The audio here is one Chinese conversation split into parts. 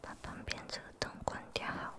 把旁边这个灯关掉，好。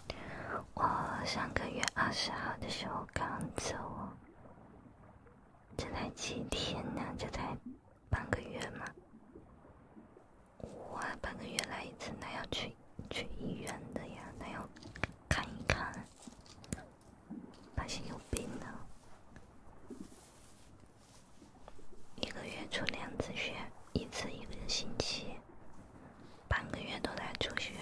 我上个月二十号的时候刚走，这才几天呢？这才半个月吗？哇，半个月来一次，那要去去医院的呀？那要看一看，发现有病了。一个月出两次血，一次一个星期，半个月都在出血。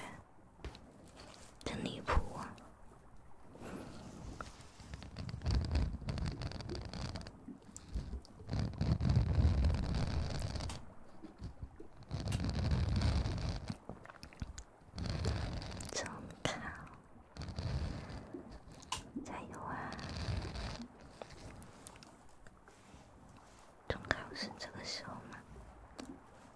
真离谱啊！中考，加油啊！中考是这个时候吗？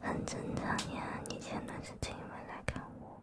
很正常呀，你前段时间也来看我。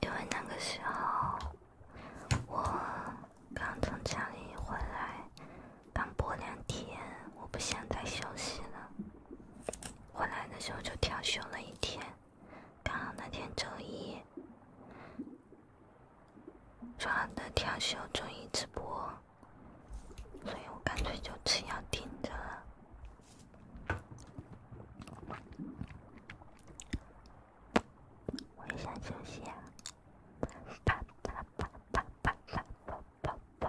因为那个时候。我刚从家里回来，刚播两天，我不想再休息了。回来的时候就调休了一天，刚好那天周一，正好能调休周一直播，所以我干脆就吃药顶着了。我也想休息啊！啪啪啪啪啪啪啪啪啪。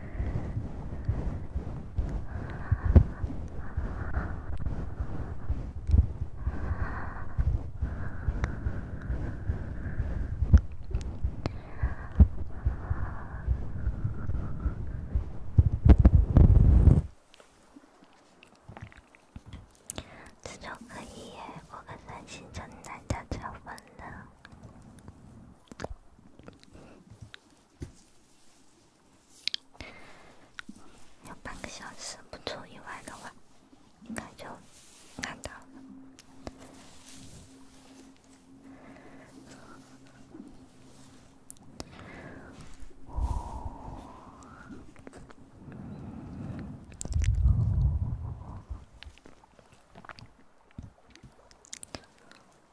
这种可以耶，我跟三星城南的差分了。有半个小时，不出意外的话，应该就看到了。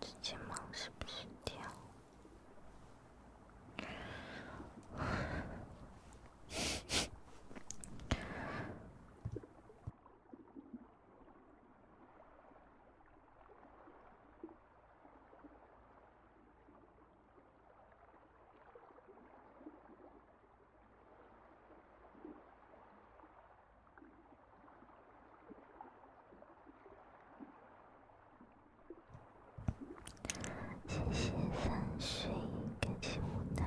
这睫毛是不是掉？谢谢三水开启舞台。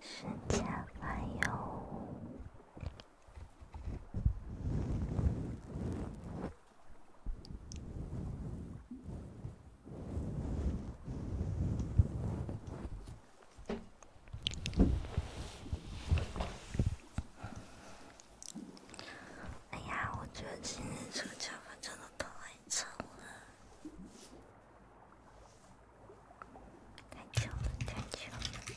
时间还有。哎呀，我觉得今天这个脚盆真的太沉了，太轻了，太轻了。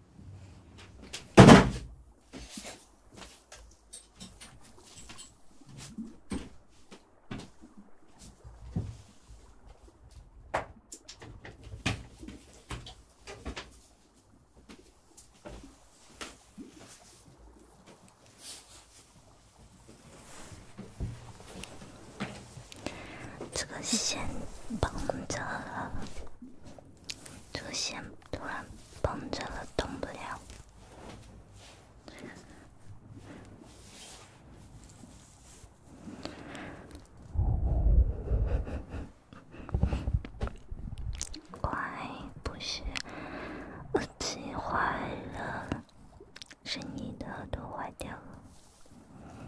这个线绑着了。出现突然绷着了，动不了。乖，不是，耳机坏了，是你的耳朵坏掉了。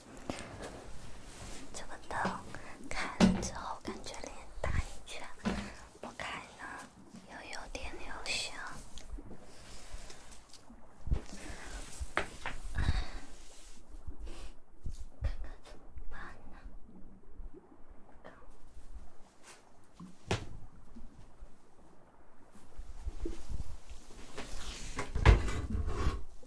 这个灯开之后感觉脸大一圈，不开了又有点留香。看看怎么办呢？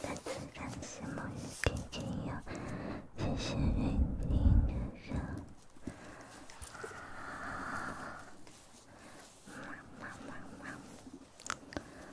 再次感谢木鱼天君哟，谢谢云听哥哥，妈妈妈。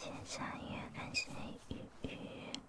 前三月感谢鱼鱼。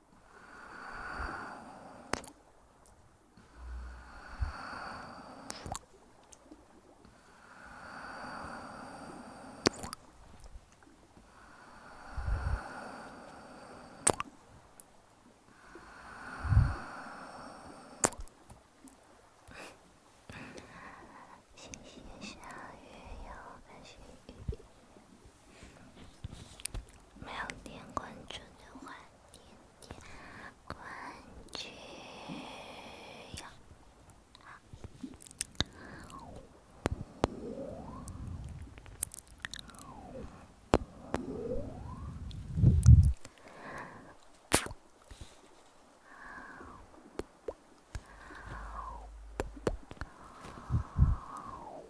淅淅沥沥，又开始。没有点关注的话，点点关注呀！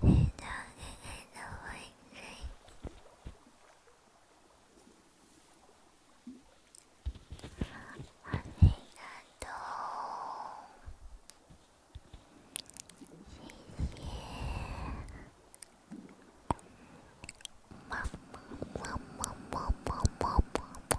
你的给给的回应，好感动，谢谢，么么么么么么么么。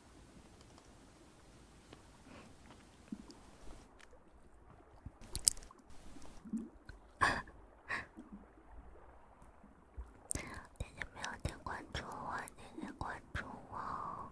大家没有点关注我，点点关注我。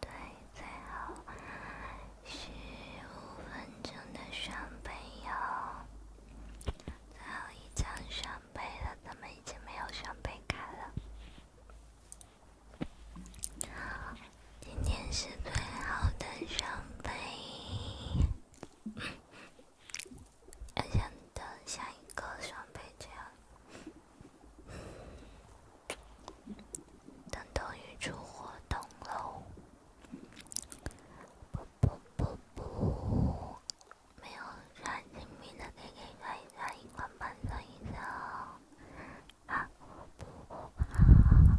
对，最后十五分钟的双倍哟，最后一张双倍了，咱们已经没有双倍卡了。今天是最好的双倍。还想等下一个双倍这样，等抖音出活动喽！不不不不，没有，让金明再给看一下，一关半声音声啊不啊。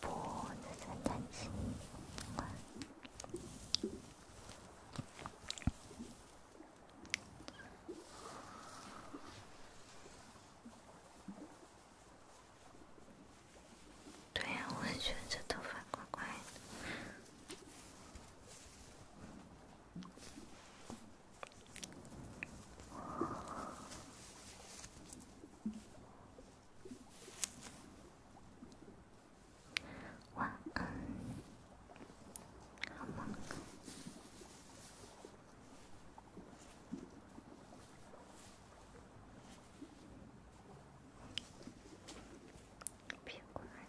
脖子真干净。对呀，我很觉得这头发乖乖。晚安，好梦。别过来。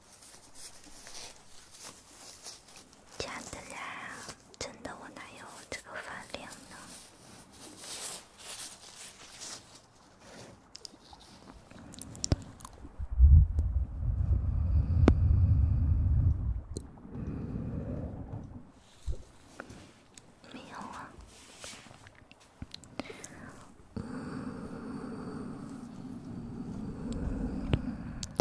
假的啦！真的我哪有这个发量呢？没有啊。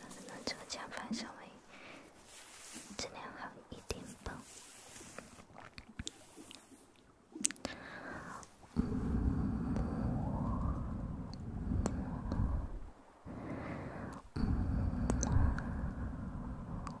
那这个键盘稍微质量好一点吧。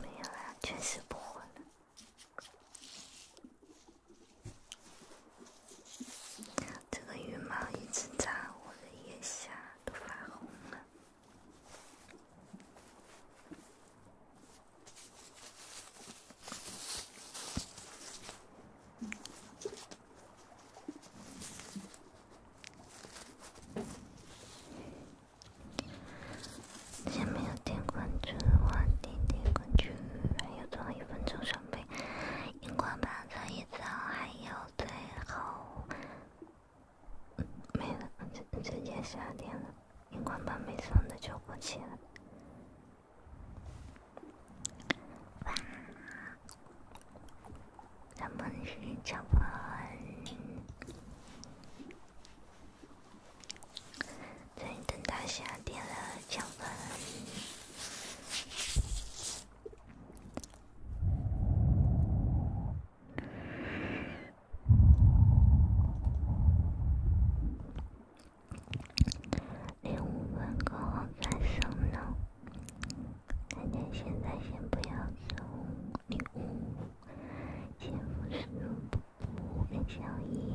没有了，确实不会了。这个羽毛一直扎我的腋下。都发红了。前面有点关着，花滴滴关着，还有最后一分钟准备。荧光棒这一组还有最后没了，直接下电了。荧光棒没送的就不起了。哇，抢板，再等到下电了抢板。零五分过后干什么？大家现在先不要走，零五，先复习五跟小一。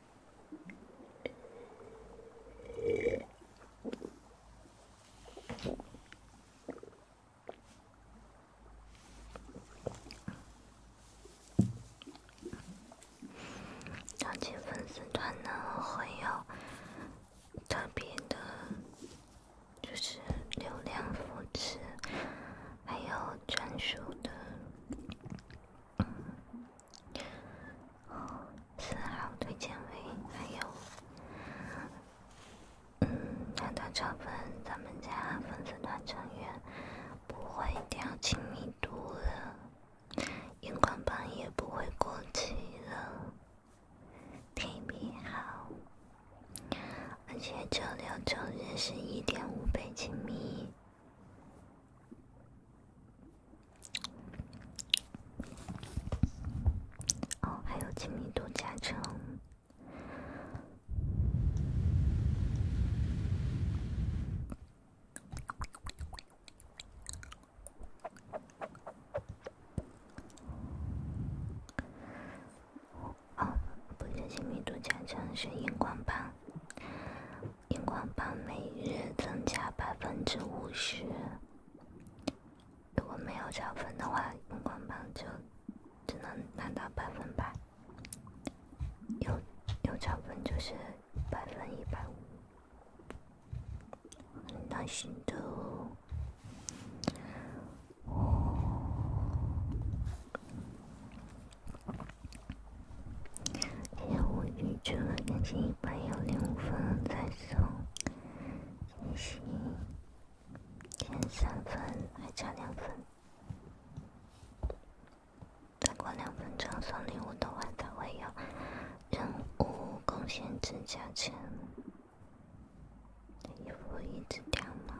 邀请粉丝团的朋友，特别的，就是流量扶持，还有专属的。四号推荐位还有，嗯，团团长分咱们家粉丝团成员不会掉亲密度了，荧光棒也不会过期了，亲密度好，而且交流乘数是一点五倍亲密度。哦，还有亲密度加成。哦，不是，亲密度加成是荧光棒，荧光棒每日增加百分之五十。如果没有加分的话，荧光棒就只能拿到百分百；有有加分就是百分一百五，很担心的哦。下午就赶紧一般六零五分才。送惊喜，填三分，还差两分。再过两分钟送礼物的话，才会有任务贡献值加成。衣服一直掉吗？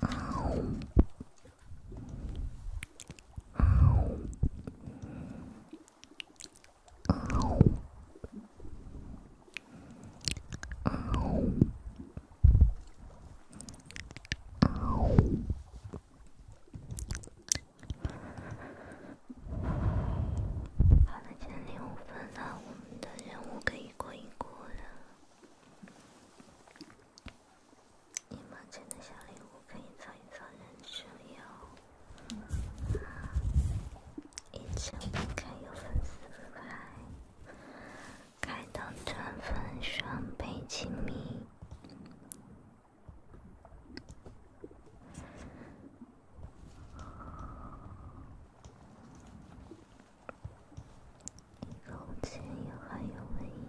好了，七点五分了，我们的任务可以过一过了。一毛钱的小礼物可以凑一凑人手哟！一千不开有粉丝牌，开到团粉双倍亲密。以前也还有回忆。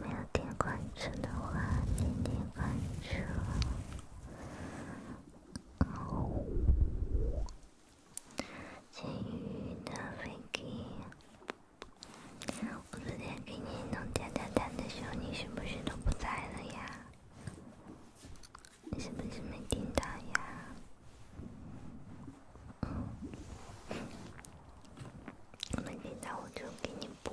没有点关注的话，点点关注哦。金鱼的飞机，我昨天给你弄加蛋蛋的时候，你是不是都不在了呀？你是不是没听到呀？没听到我就给你补。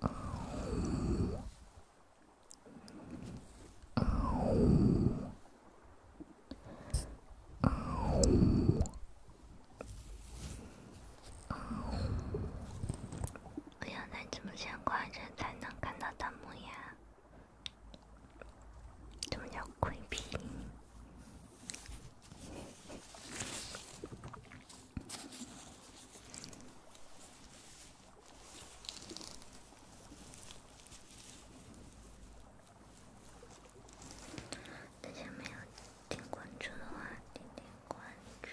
哦哦哦哦！我要在你直播间挂着才能看到的模样，多么公平！大家没有点关注的话，点点关注，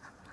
好吗？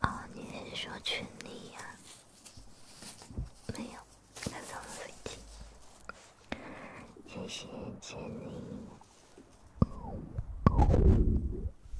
哦，你是说群里呀？没有，看咱们飞机。谢谢奖励。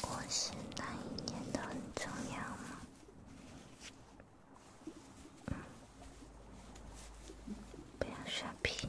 过世那一年都很重要吗？不要刷屏。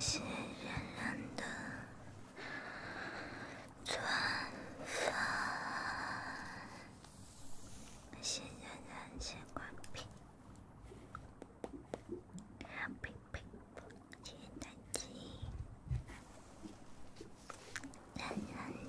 谢谢冉冉的。转分，先忍忍，先关闭，啊呸呸，切等级，忍忍忍。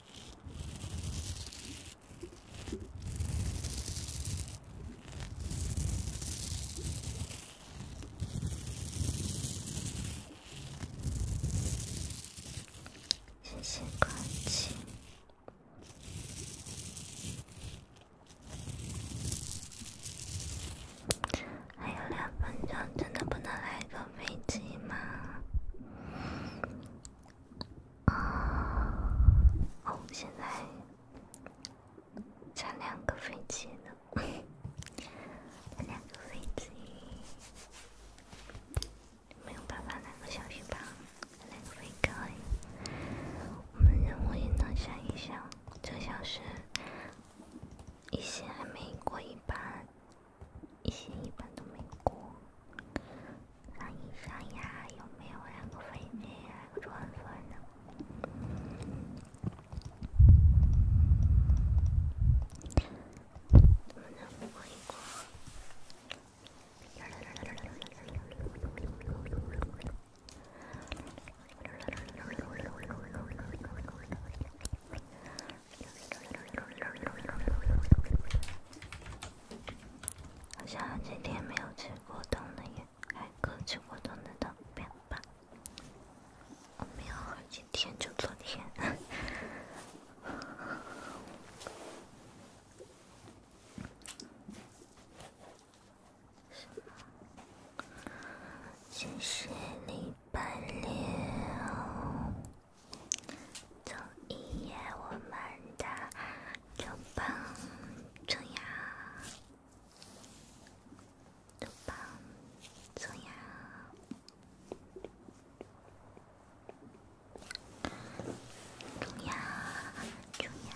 谢谢关心。还有两分钟，真的不能来个飞机吗？啊，我现在差两个飞机呢，两个飞机没有办法，两个小时吧。两个飞盖，我们任务也能想一想，这小是一些还没过一半。一些一般都没过，像以上呀，有没有两个飞机，两有转转的？好像有天没有吃过冬的叶，还刚吃过冬的豆苗吧？我没有，今天就昨天。谢 谢礼拜六。走一夜，我们的路旁，中央，路旁，中央，中央，中央。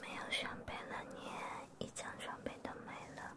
没有装备了，你一张装备都没了。